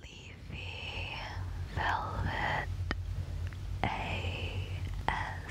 Leafy Velvet ASMR.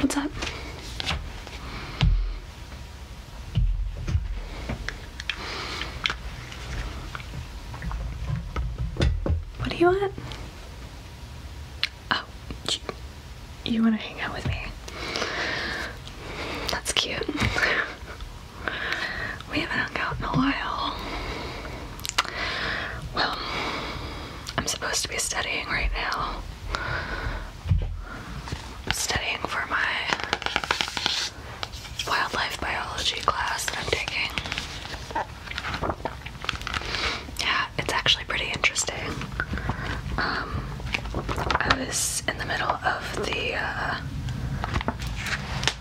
What's up? What do you want? Oh, you want to hang out with me? That's cute. we haven't hung out in a while. Well, I'm supposed to be studying right now. studying for my wildlife biology class that I'm taking. Yeah, it's actually pretty interesting. Um, I was in the middle of the uh,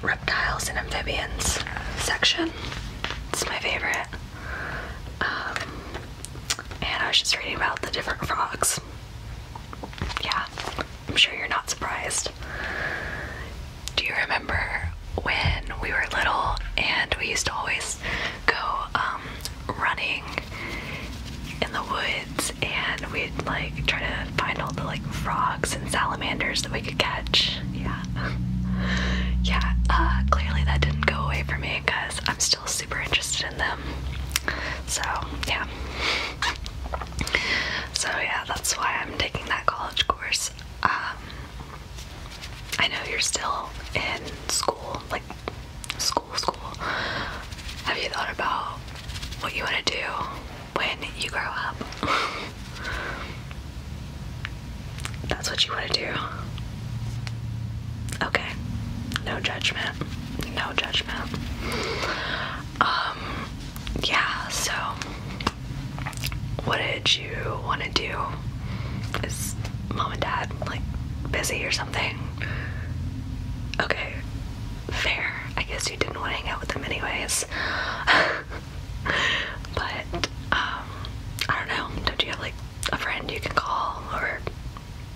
reptiles and amphibians section. It's my favorite. Um, and I was just reading about the different frogs. Yeah, I'm sure you're not surprised. Do you remember when we were little and we used to always go um, running in the woods and we'd like try to find all the like frogs and salamanders that we could catch? Yeah yeah, uh, clearly that didn't go away for me because I'm still super interested in them. So, yeah. So, yeah, that's why I'm taking that college course. Um, I know you're still in school, like school, school. Have you thought about what you want to do when you grow up? That's what you want to do. Okay. No judgment. No judgment. Um, yeah, so what did you want to do? Is mom and dad like busy or something? Okay, fair. I guess you didn't want to hang out with them, anyways. but, um, I don't know. Don't you have like a friend you can call or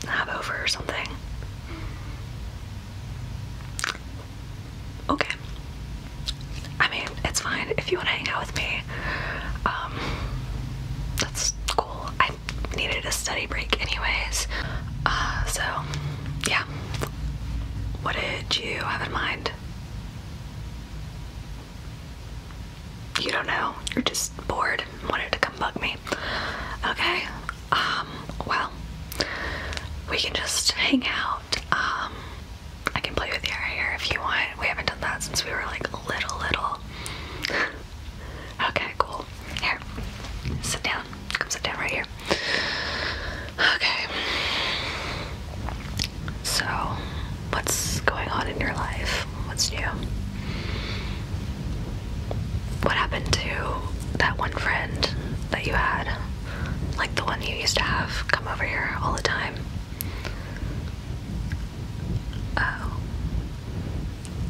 have over or something. Okay. I mean, it's fine if you want to hang out with me. Um, that's cool. I needed a study break, anyways. Uh, so, yeah. What did you have in mind? you don't know, you're just bored and wanted to come bug me. Okay, um, well, we can just hang out. Um, I can play with your hair if you want. We haven't done that since we were like little, little. okay, cool. Here, sit down. Come sit down right here. Okay. So, what's going on in your life? What's new? What happened to that one friend that you had? Like the one you used to have come over here all the time? Oh.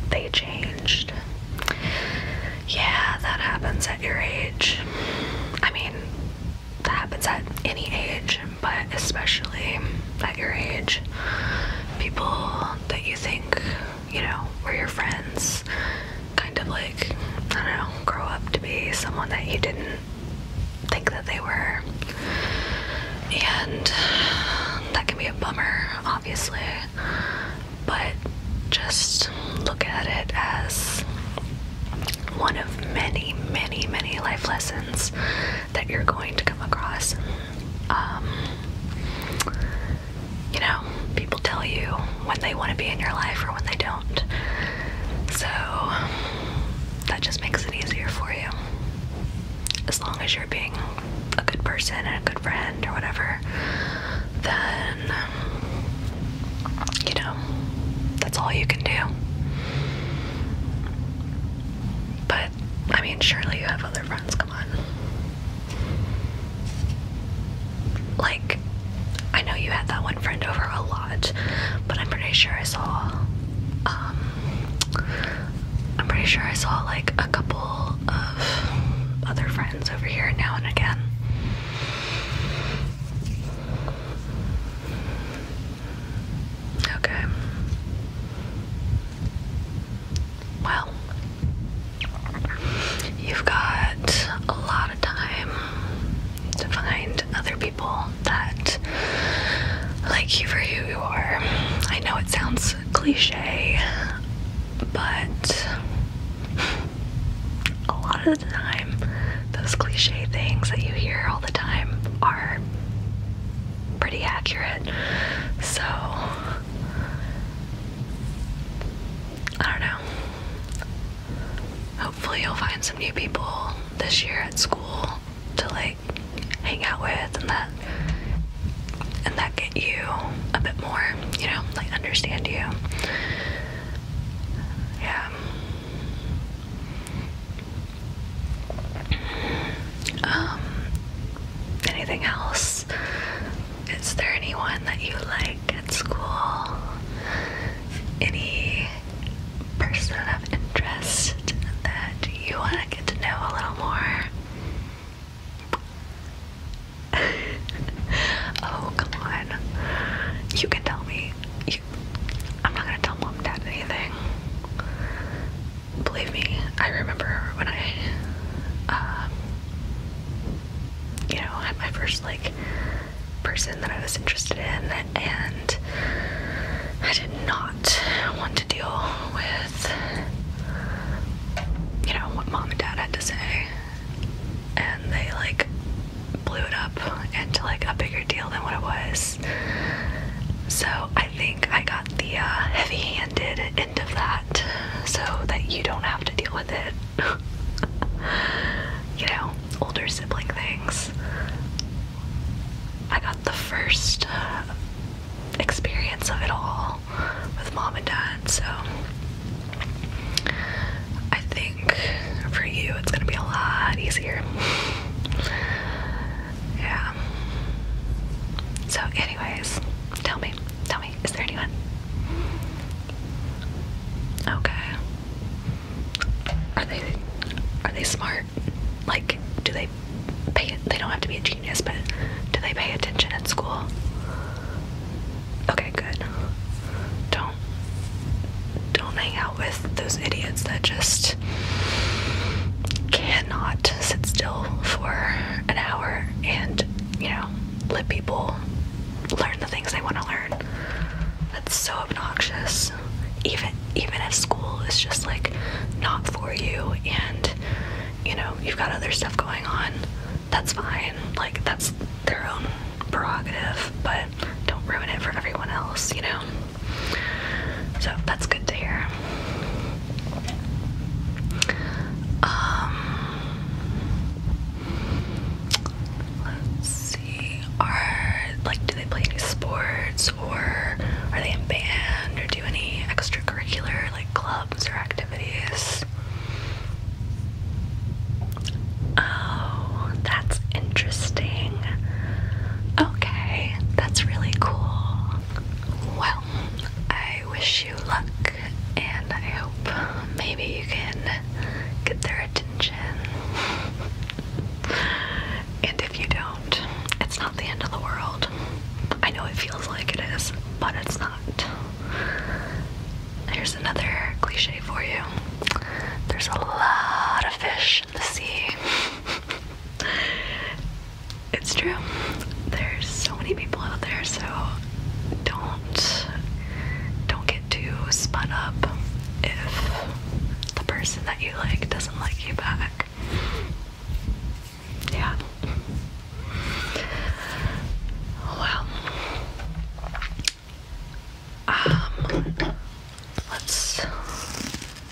They changed. Yeah, that happens at your age. I mean, that happens at any age but especially at your age, people that you think, you know, were your friends kind of like, I don't know, grow up to be someone that you didn't think that they were. And that can be a bummer, obviously, but just look at it as one of many, many, many life lessons that you're going to come across. Um, you know, people tell you when they want to be in your life or when they don't. So that just makes it easier for you. As long as you're being a good person and a good friend or whatever, then, you know, that's all you can do. But, I mean, surely you have other friends, come on. Like, I know you had that one friend over a lot, but I'm pretty sure I saw, um, I'm pretty sure I saw like a couple of other friends over here now and again. Okay. Well, you've got a lot of time to find other people that like you for who you are. I know it sounds cliche, but a lot of the time, those cliche things that you hear all the time are pretty accurate. So I don't know. Hopefully you'll find some new people this year at school to like hang out with and that and that get you a bit more, you know, like understand you. Yeah. Um, anything else? Is there anyone that you like at school? Any person of interest that you want to get to know a little more? oh, come on. You can tell me. I'm not gonna tell mom and dad anything. Believe me, I remember when I, um, you know, had my first like person that I was interested in, and I did not want to deal with, you know, what mom and dad had to say, and they like blew it up into like a bigger deal than what it was. So I think I got the uh, heavy handed end of that so that you don't have to deal with it. you know, older sibling things. I got the first uh, experience of it all with mom and dad, so I think for you it's gonna be a lot easier. Yeah. So, anyways, tell me, tell me, is there anyone? Okay. Are they are they smart? Like, do they pay? They don't have to be genius, but do they pay attention in school? Okay, good. Don't don't hang out with those idiots that just just cannot sit still for an hour and, you know, let people learn the things they want to learn. That's so obnoxious. Even even if school is just like not for you and you know, you've got other stuff going on, that's fine. Like that's their own prerogative, but don't ruin it for everyone else, you know. So that's good to hear. Um, let's see. Are like do they play any sports or are they in band or do any extracurricular like clubs or activities? Oh, that's interesting. Okay, that's really cool. Well, I wish you luck and I hope maybe you can get their attention. and if you don't, it's not the end of the world. I know it feels like it is, but it's not. Here's another cliche for you. There's a lot of fish fish in the sea. it's true. There's so many people out there, so don't don't get too spun up if the person that you like doesn't like you back. Yeah. Well, um, Let's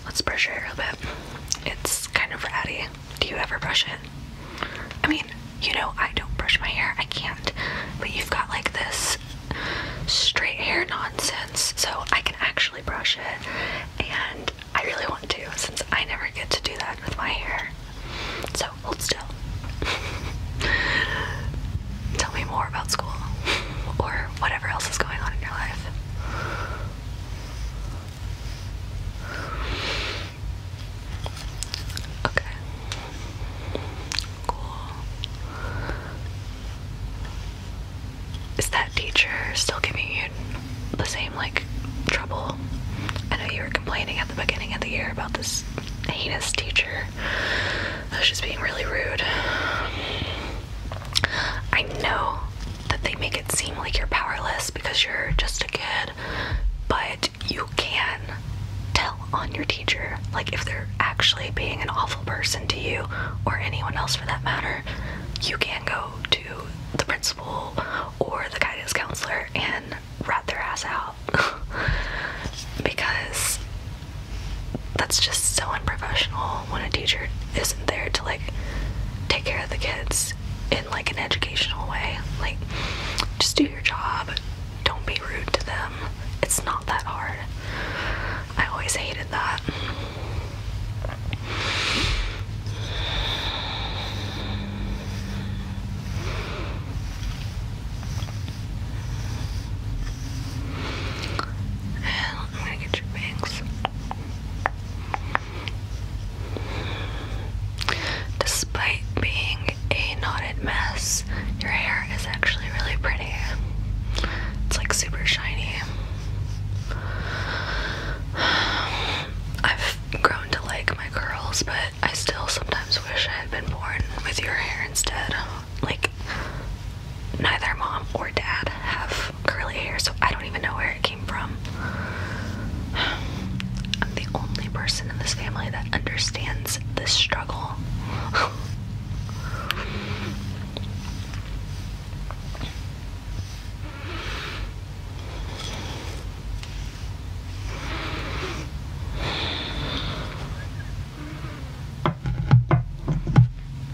let's brush your hair a bit. It's kind of ratty. Do you ever brush it? I mean, you know, I don't brush my hair. I can't. But you've got like this straight hair nonsense, so I can actually brush it, and I really want to since I never get to do that with my hair. So hold still. Tell me more about school or whatever else is going on in your life. Okay. Cool. Is that teacher still giving you the same like trouble? I know you were complaining at the beginning of the year about this heinous teacher. She's being really rude. I know that they make it seem like you're powerless because you're just a kid, but you can tell on your teacher, like if they're actually being an awful person to you or anyone else for that matter, you can go to the principal or the guidance counselor and rat their ass out because that's just so unprofessional when a teacher isn't there to like take care of the kids in like an educational way. Like just do your job. Don't be rude to them. It's not that hard. I always hated that. And I'm gonna get your bangs. Despite being a knotted mess, your hair is actually really pretty. It's like super shiny. I've grown to like my curls, but I still sometimes wish I had been born with your hair instead. Like neither mom or dad have curly hair, so I don't even know where it came from. I'm the only person in this family that understands this struggle.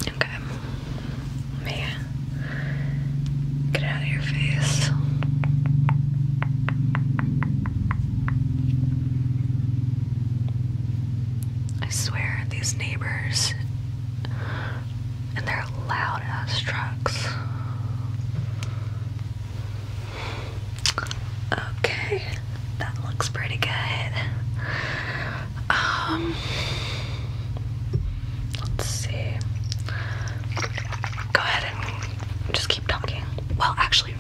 Okay. Me. Get out of your face. I swear, these neighbors and their loud ass trucks. Okay, that looks pretty good. Um, let's see. Go ahead and just keep talking. Well, actually,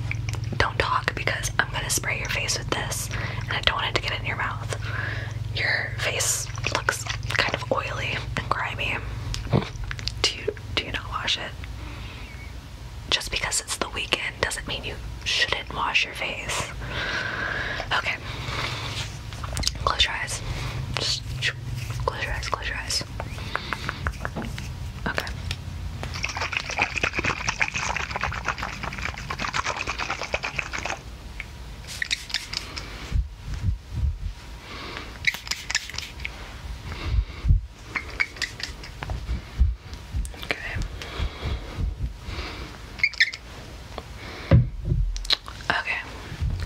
don't talk because I'm gonna spray your face with this, and I don't want it to get in your mouth. Your face looks kind of oily and grimy. Do you do you not wash it? Just because it's the weekend doesn't mean you should did wash your face. Okay. Close your eyes. Just close your eyes, close your eyes. Okay. Okay. Okay,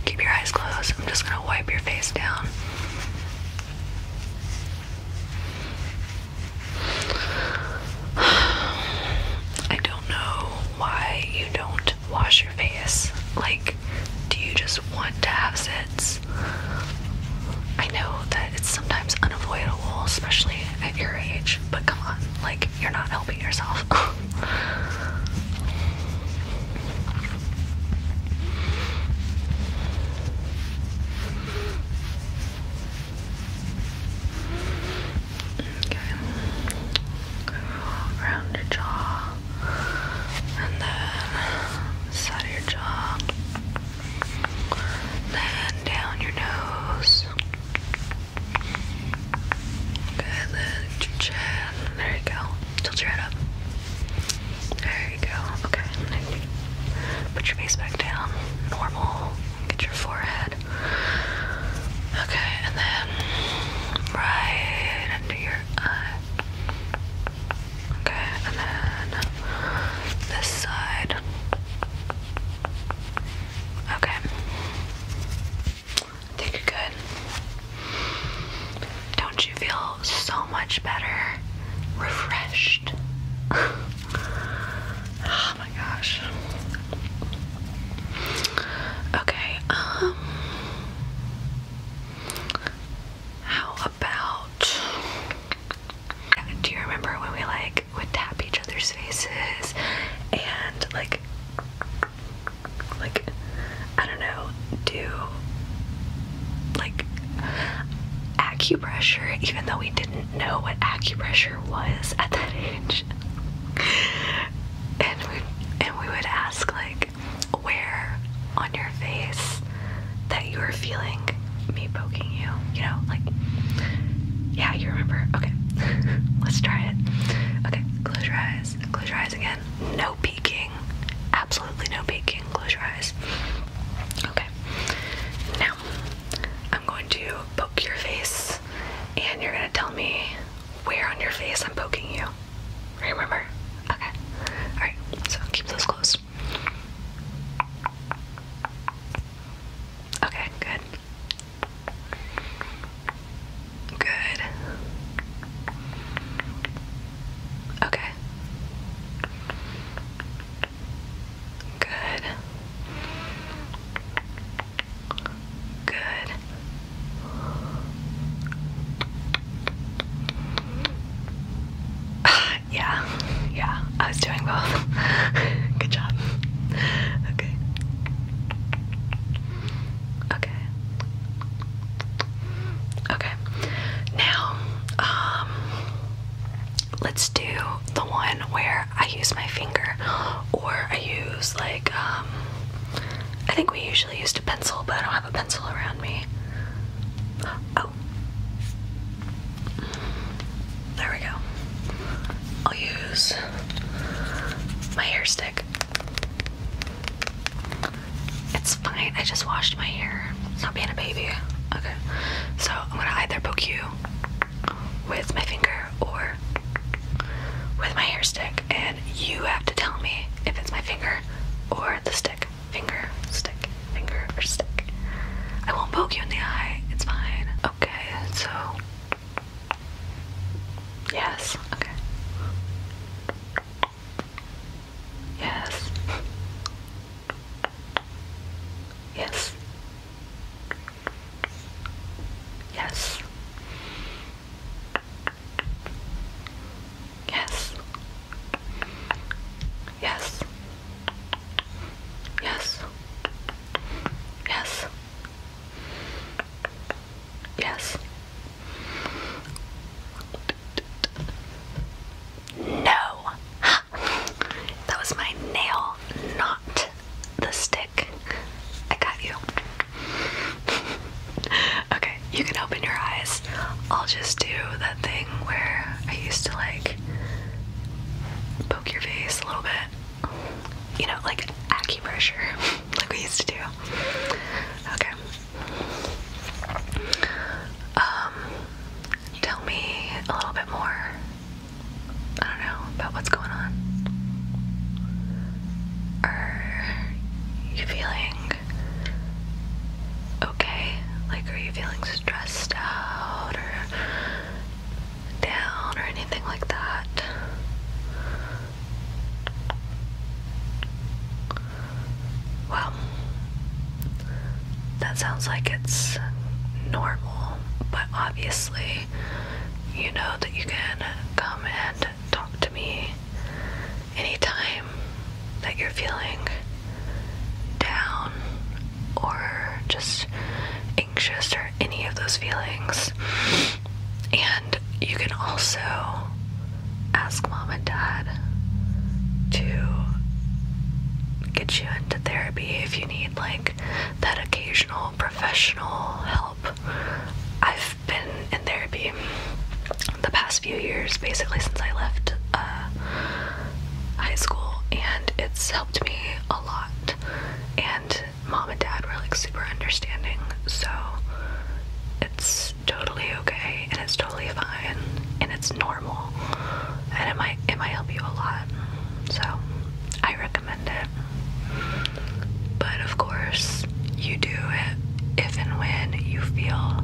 keep your eyes closed. I'm just gonna wipe your face down. I don't know why you don't wash your face. Like, do you just want to have zits? I know that it's sometimes unavoidable, especially at your age, but come on, like, you're not helping yourself. around your jaw and then side of your jaw. Then down your nose. Good, There you go. Tilt your head up. There you go. Okay. Put your face back down. Normal. Get your forehead. Okay, and then right under your eye. Okay, and then this side. Okay. I think you're good. Don't you feel so much better? Refreshed? oh my gosh. Okay, um. How about. Do you remember when we like we would tap each other's faces and like like I don't know, do like acupressure, even though we didn't know what acupressure was at that age. and we and we would ask like where on your face that you were feeling me poking you, you know, like yeah, you remember. Okay. Let's try it. Okay, close your eyes. Close your eyes again. No peeking. Absolutely no peeking. Close your eyes. Okay. Now, I'm going to poke your face, and you're going to tell me where on your face I'm poking you. Remember? Okay. Alright, so keep those closed. Okay, good. Good. Okay. Good. Good. yeah, yeah, I was doing both. Good job. Okay. Okay. Okay. Now, um, let's do the one where I use my finger or I use like, um, I think we usually used a pencil, but I don't have a pencil around me. Oh. There we go. I'll use my hair stick. It's fine. I just washed my hair. not being a baby. Okay. So I'm gonna either poke you with my finger or with my hair stick, and you have to tell me if it's my finger or the stick. Finger, stick, finger, or stick. I won't poke you in the eye. It's fine. Okay. So Yes, okay. Yes. Yes. Yes. Yes. Yes. Yes. Yes. Yes. No. that was my nail, not the stick. I got you. okay, you can open your eyes. I'll just do that thing where I used to like poke your face a little bit you know, like acupressure, like we used to do. Okay. Um, tell me a little bit more. I don't know about what's going on. Are you feeling okay? Like, are you feeling stressed out down or anything like that. Well, that sounds like it's normal, but obviously, you know that you can come and talk to me anytime that you're feeling down or just anxious or any of those feelings. And you can also ask mom and dad to get you into therapy if you need like that occasional professional help. I've been in therapy the past few years, basically since I left uh, high school, and it's helped me a lot. And mom and dad were like super understanding, so it's totally okay and it's totally fine and it's normal and it might it might help you a lot. So I recommend it. But of course you do it if and when you feel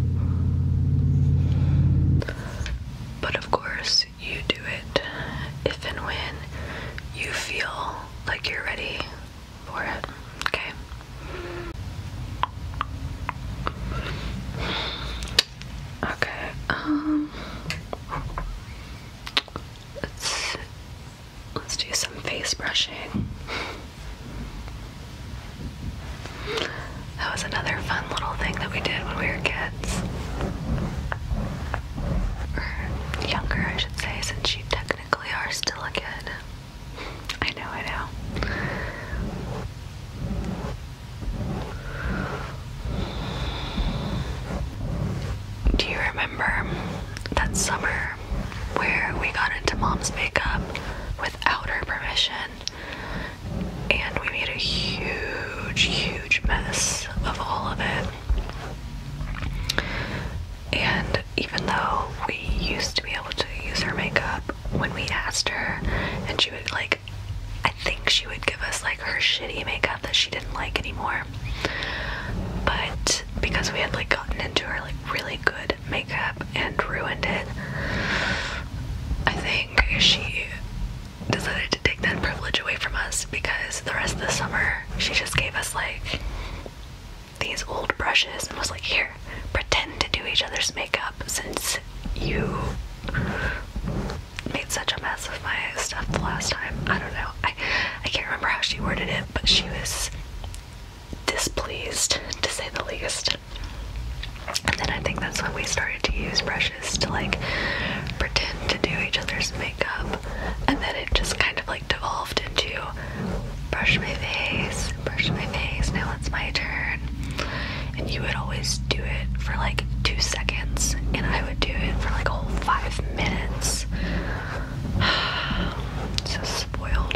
but of course you do it if and when you feel like you're ready for it. Okay. Okay. Um let's let's do some face brushing. That was another fun little thing that we did when we were kids or younger, I should say, since you technically are still a kid. I know, I know. Do you remember that summer where we got into mom's makeup without her permission and we made a huge, huge mess of all of it? And even though we used to be able to use her makeup, when we asked her, and she would like, I think she would give us like her shitty makeup that she didn't like anymore. But because we had like gotten into her like really good makeup and ruined it, I think she decided to take that privilege away from us because the rest of the summer she just gave us like these old brushes and was like, here, pretend to do each other's makeup since you made such a mess of my stuff the last time. I don't know. I, I can't remember how she worded it, but she was displeased to say the least. And then I think that's when we started to use brushes to like pretend to do each other's makeup makeup, and then it just kind of like devolved into brush my face, brush my face, now it's my turn. And you would always do it for like two seconds, and I would do it for like a whole five minutes. so spoiled.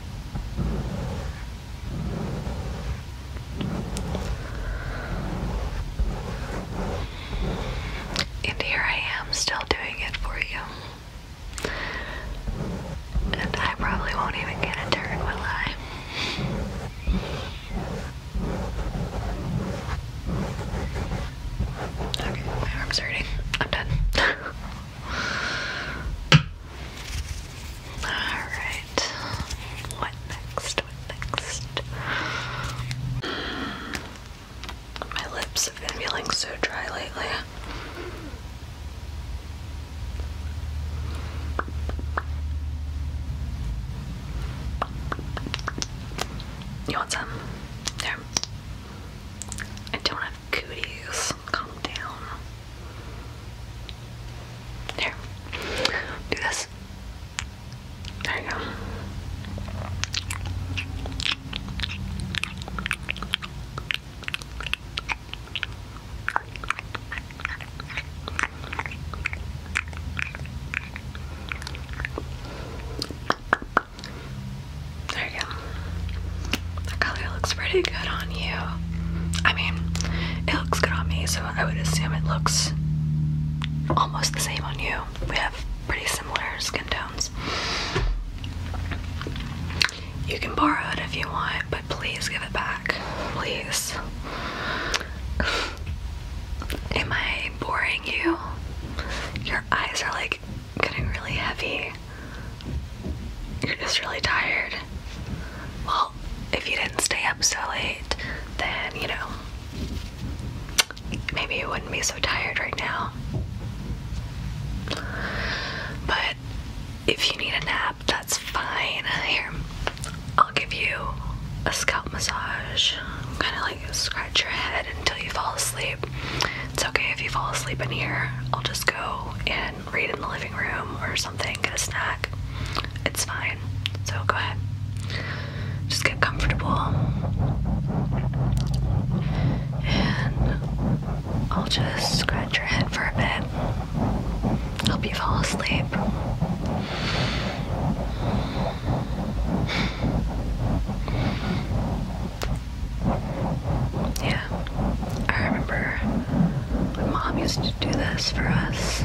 And here I am still doing it for you. And I probably won't even get a turn, will I? Okay, my arm's hurting. I'm done. Alright. What next? What next? My lips have been feeling so dry lately. You want some? There. I don't cooties. Calm down. Here. Do this. There you go. There you go. That color looks pretty good on you. I mean, it looks good on me, so I would assume it looks almost the same on you. We have pretty similar skin tones. You can borrow it if you want, but please give it back. Please. Am I boring you? Your eyes are like getting really heavy. You're just really tired. Well, if you didn't stay up so late, then you know, maybe you wouldn't be so tired right now. But if you need a nap, that's fine. Here, I'll give you a scalp massage. Kind of like scratch your head until you fall asleep. It's okay if you fall asleep in here. I'll just go and read in the living room or something, get a snack. It's fine. So go ahead. Just get comfortable. And I'll just scratch your head for a bit. Help you fall asleep. Yeah, I remember my mom used to do this for us.